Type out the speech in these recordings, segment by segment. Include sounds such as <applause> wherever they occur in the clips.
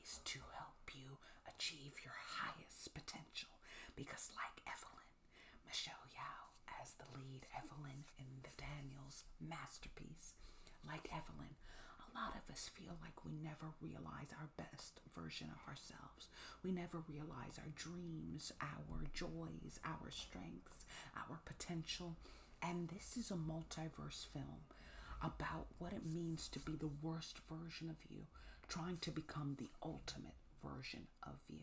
is to help you achieve your highest potential. Because, like Evelyn, Michelle Yao, as the lead Evelyn in the Daniels masterpiece, like Evelyn, a lot of us feel like we never realize our best version of ourselves. We never realize our dreams, our joys, our strengths, our potential, and this is a multiverse film about what it means to be the worst version of you, trying to become the ultimate version of you.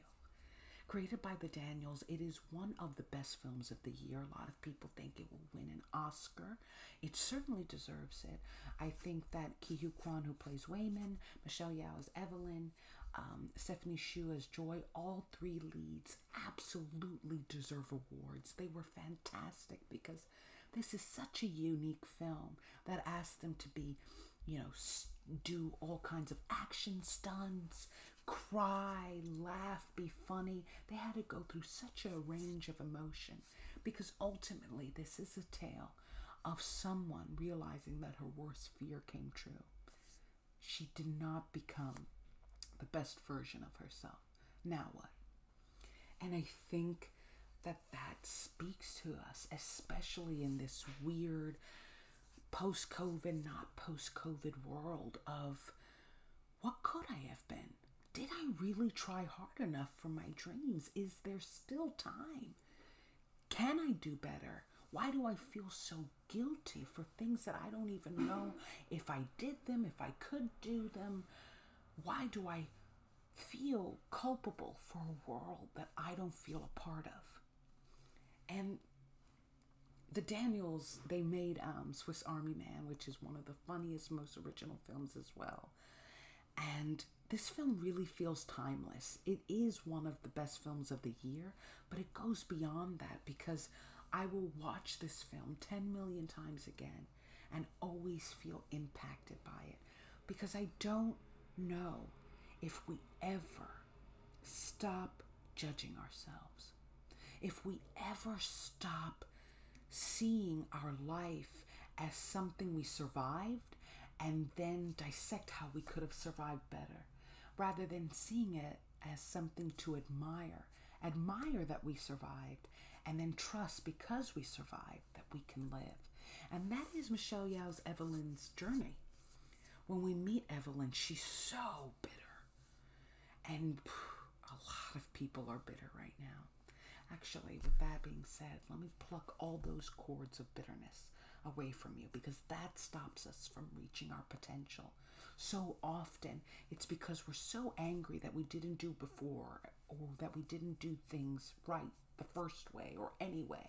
Created by the Daniels, it is one of the best films of the year. A lot of people think it will win an Oscar. It certainly deserves it. I think that Ki Hu Kwan, who plays Wayman, Michelle Yao as Evelyn, um, Stephanie Shu as Joy, all three leads absolutely deserve awards. They were fantastic because this is such a unique film that asked them to be, you know, do all kinds of action stunts, cry, laugh, be funny. They had to go through such a range of emotion because ultimately this is a tale of someone realizing that her worst fear came true. She did not become the best version of herself. Now what? And I think that that speaks to us, especially in this weird post COVID, not post COVID world of what could I have been? Did I really try hard enough for my dreams? Is there still time? Can I do better? Why do I feel so guilty for things that I don't even know if I did them, if I could do them? Why do I feel culpable for a world that I don't feel a part of? And the Daniels, they made um, Swiss Army Man, which is one of the funniest, most original films as well. And this film really feels timeless. It is one of the best films of the year, but it goes beyond that because I will watch this film 10 million times again and always feel impacted by it because I don't know if we ever stop judging ourselves, if we ever stop seeing our life as something we survived and then dissect how we could have survived better, rather than seeing it as something to admire admire. that we survived, and then trust because we survived that we can live. And that is Michelle Yao's Evelyn's journey. When we meet Evelyn, she's so bitter. And a lot of people are bitter right now. Actually, with that being said, let me pluck all those cords of bitterness away from you because that stops us from reaching our potential. So often, it's because we're so angry that we didn't do before or oh, that we didn't do things right the first way or anyway,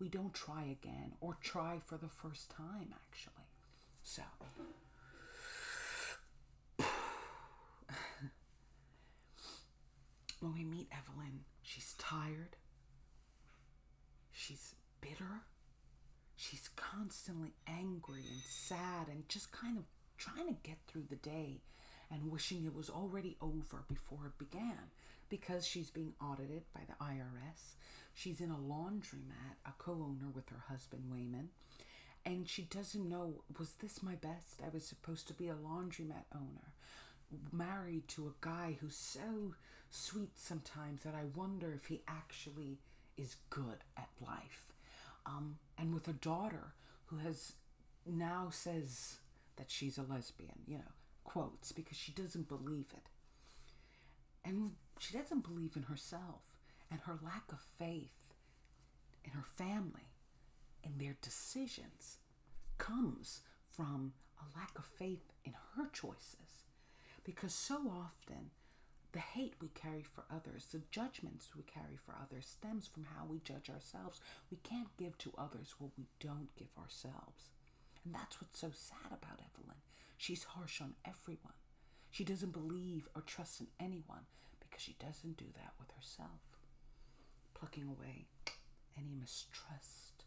We don't try again or try for the first time, actually. So, <sighs> when we meet Evelyn, she's tired, she's bitter, she's constantly angry and sad and just kind of trying to get through the day and wishing it was already over before it began because she's being audited by the IRS. She's in a laundromat, a co owner with her husband Wayman, and she doesn't know was this my best? I was supposed to be a laundromat owner, married to a guy who's so sweet sometimes that I wonder if he actually is good at life. Um, and with a daughter who has now says that she's a lesbian, you know, quotes, because she doesn't believe it. And she doesn't believe in herself and her lack of faith in her family in their decisions comes from a lack of faith in her choices. Because so often, the hate we carry for others, the judgments we carry for others stems from how we judge ourselves. We can't give to others what we don't give ourselves. And that's what's so sad about Evelyn. She's harsh on everyone. She doesn't believe or trust in anyone because she doesn't do that with herself. Plucking away any mistrust.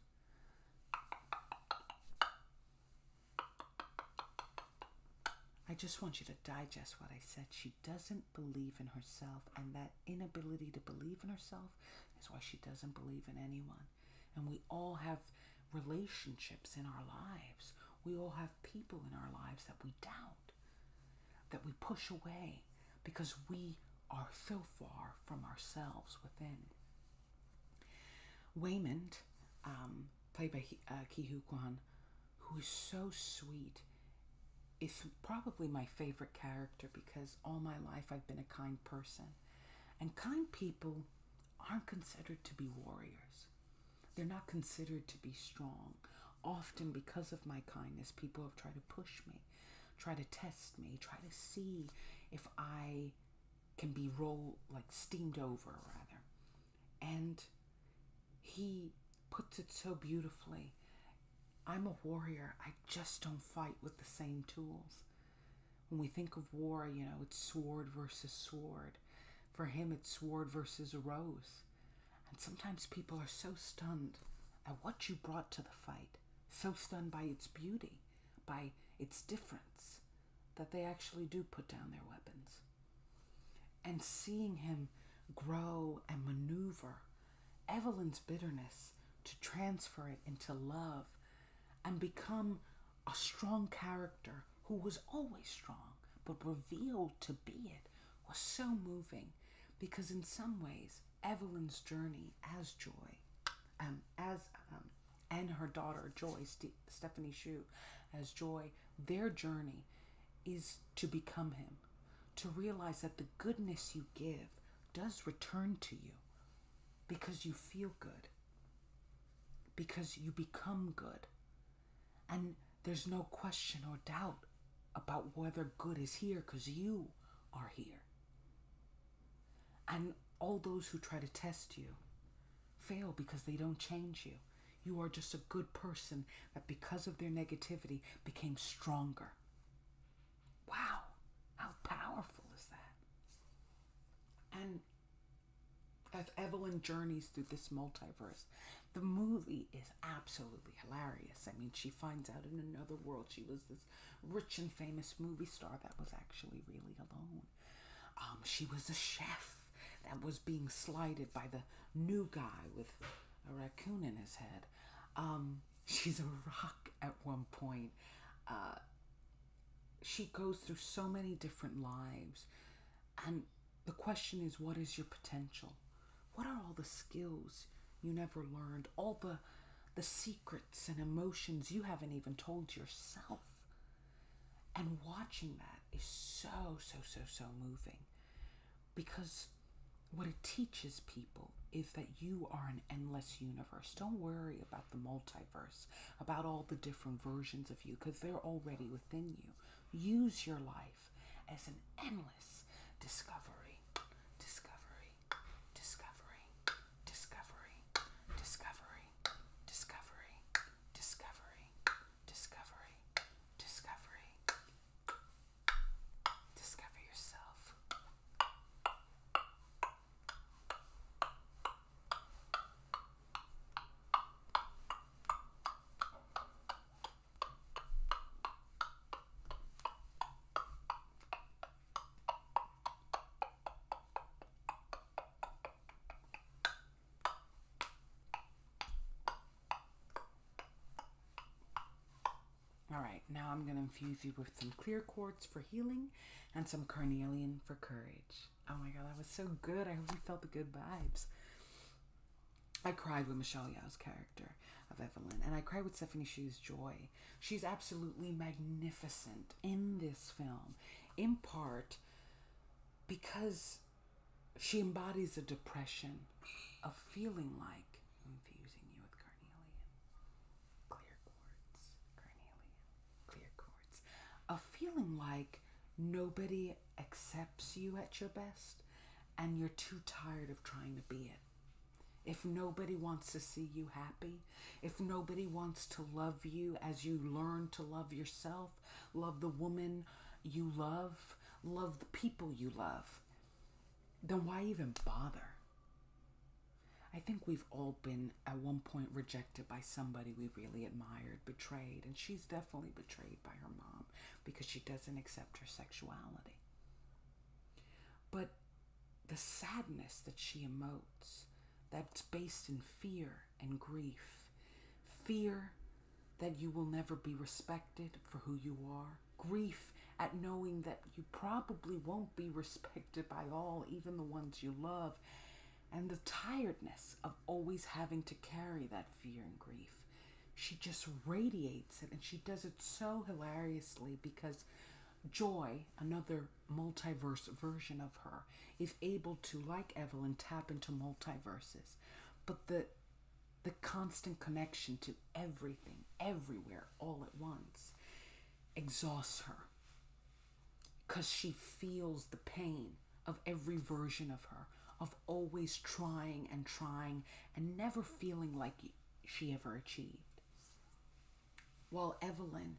I just want you to digest what I said she doesn't believe in herself, and that inability to believe in herself is why she doesn't believe in anyone. And we all have relationships in our lives, we all have people in our lives that we doubt, that we push away because we are so far from ourselves within. Waymond, um, played by uh, Ki who is so sweet, is probably my favorite character because all my life I've been a kind person. And kind people aren't considered to be warriors. They're not considered to be strong. Often, because of my kindness, people have tried to push me, try to test me, try to see if I can be rolled like steamed over, rather. And he puts it so beautifully. I'm a warrior. I just don't fight with the same tools. When we think of war, you know, it's sword versus sword. For him, it's sword versus rose. And sometimes people are so stunned at what you brought to the fight, so stunned by its beauty, by its difference, that they actually do put down their weapons and seeing him grow and maneuver Evelyn's bitterness to transfer it into love and become a strong character who was always strong but revealed to be it was so moving because in some ways Evelyn's journey as Joy um, as um, and her daughter Joy Stephanie Shu as Joy their journey is to become him to realize that the goodness you give does return to you because you feel good, because you become good. And there's no question or doubt about whether good is here because you are here. And all those who try to test you fail because they don't change you. You are just a good person that because of their negativity became stronger. Wow, how powerful is that? And as Evelyn journeys through this multiverse, the movie is absolutely hilarious. I mean, she finds out in another world she was this rich and famous movie star that was actually really alone. Um, she was a chef that was being slighted by the new guy with a raccoon in his head. Um, <laughs> she's a rock at one point. Uh, she goes through so many different lives. And the question is, what is your potential? What are all the skills you never learned? All the the secrets and emotions you haven't even told yourself. And watching that is so, so, so, so moving because what it teaches people is that you are an endless universe. Don't worry about the multiverse, about all the different versions of you, because they're already within you. Use your life as an endless discovery, discovery, discovery, discovery, discovery, discovery, discovery, discovery, discovery, Discover yourself. All right, now I'm going to infuse you with some clear quartz for healing and some carnelian for courage. Oh my god, that was so good. I hope you felt the good vibes. I cried with Michelle Yao's character of Evelyn, and I cried with Stephanie Shu's joy. She's absolutely magnificent in this film, in part because she embodies a depression of feeling like infusing you with carnelian, clear quartz, carnelian, clear quartz, a feeling like nobody accepts you at your best and you're too tired of trying to be it. If nobody wants to see you happy, if nobody wants to love you as you learn to love yourself, love the woman you love, love the people you love, then why even bother? I think we've all been at one point rejected by somebody we really admired, betrayed, and she's definitely betrayed by her mom because she doesn't accept her sexuality. But the sadness that she emotes, that's based in fear and grief, fear that you will never be respected for who you are, grief at knowing that you probably won't be respected by all, even the ones you love, and the tiredness of always having to carry that fear and grief. She just radiates it and she does it so hilariously because Joy, another multiverse version of her, is able to, like Evelyn, tap into multiverses. But the the constant connection to everything, everywhere, all at once, exhausts her because she feels the pain of every version of her, of always trying and trying and never feeling like she ever achieved. While Evelyn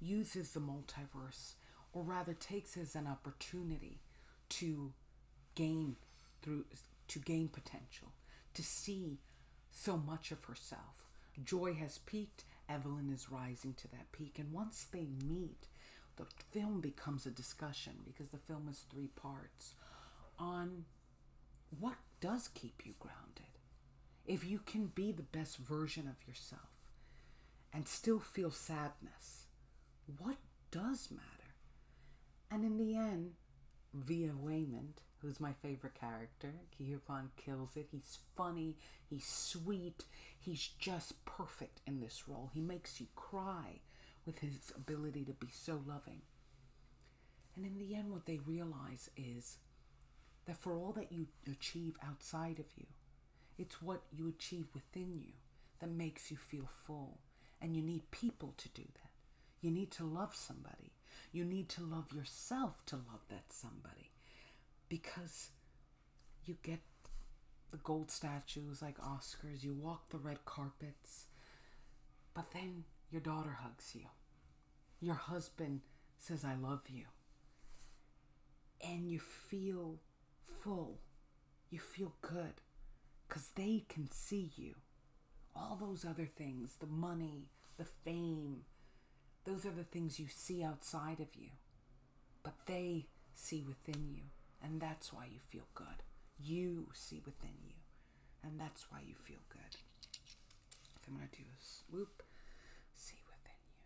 uses the multiverse, or rather takes as an opportunity to gain through to gain potential, to see so much of herself. Joy has peaked, Evelyn is rising to that peak, and once they meet, the film becomes a discussion because the film is three parts on what does keep you grounded. If you can be the best version of yourself and still feel sadness, what does matter? And in the end, via Waymond, who's my favorite character. Kyupon kills it. He's funny, he's sweet, he's just perfect in this role. He makes you cry with his ability to be so loving. And in the end, what they realize is that for all that you achieve outside of you, it's what you achieve within you that makes you feel full. And you need people to do that. You need to love somebody. You need to love yourself to love that somebody because you get the gold statues like Oscars, you walk the red carpets, but then your daughter hugs you. Your husband says, I love you. And you feel full. You feel good because they can see you. All those other things, the money, the fame, those are the things you see outside of you. But they see within you, and that's why you feel good. You see within you, and that's why you feel good. I'm going to do a swoop. See within you.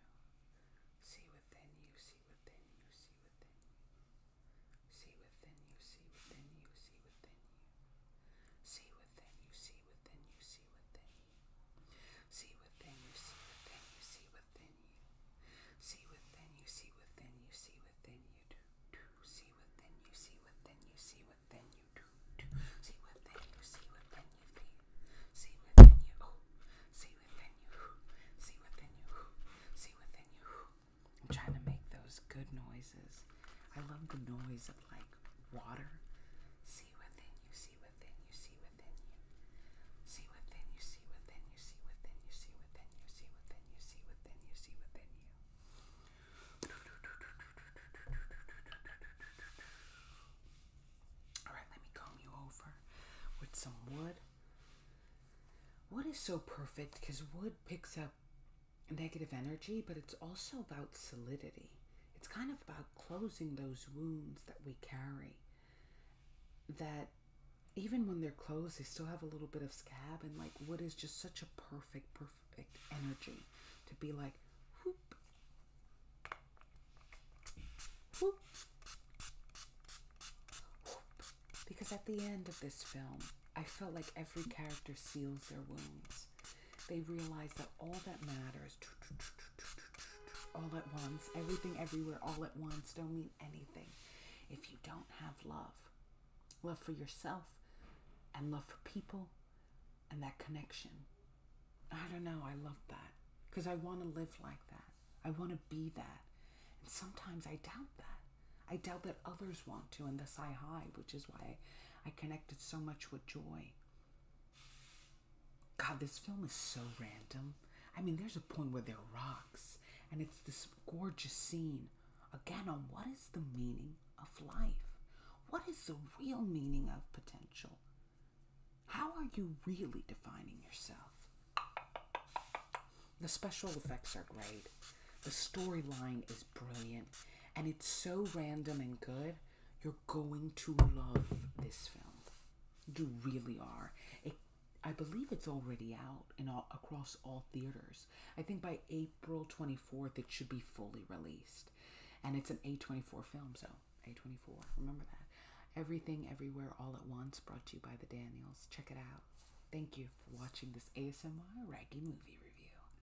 See within you. See within you. See within you. See within you. See within you. See see within you. See within you, see within you, see within you. See within you, see within you, see within you. See within you, see within you, see within you, do, do. See within you, see within you, see within you, do, do. See within you, see within you, feel. See within you, oh. See within you, see within you, see within you. I'm trying to make those good noises. I love the noise of like water. See within you, see within you, see within you. See within you, see within you, see within you, see within you, see within you, see within you, see within you. Alright, let me comb you over with some wood. Wood is so perfect because wood picks up negative energy, but it's also about solidity. It's kind of about closing those wounds that we carry. That even when they're closed, they still have a little bit of scab, and like what is just such a perfect, perfect energy to be like, whoop, whoop, whoop. Because at the end of this film, I felt like every character seals their wounds they realize that all that matters, all at once, everything everywhere, all at once, don't mean anything if you don't have love. Love for yourself and love for people and that connection. I don't know, I love that because I want to live like that. I want to be that. And sometimes I doubt that. I doubt that others want to, and thus I hide, which is why I connected so much with joy. God, this film is so random. I mean, there's a point where there are rocks, and it's this gorgeous scene. Again, on what is the meaning of life? What is the real meaning of potential? How are you really defining yourself? The special effects are great. The storyline is brilliant, and it's so random and good. You're going to love this film. You really are. It, I believe it's already out in all, across all theaters. I think by April 24th it should be fully released. And it's an A24 film, so A24, remember that. Everything Everywhere All at Once brought to you by the Daniels. Check it out. Thank you for watching this ASMR Raggy Movie Review.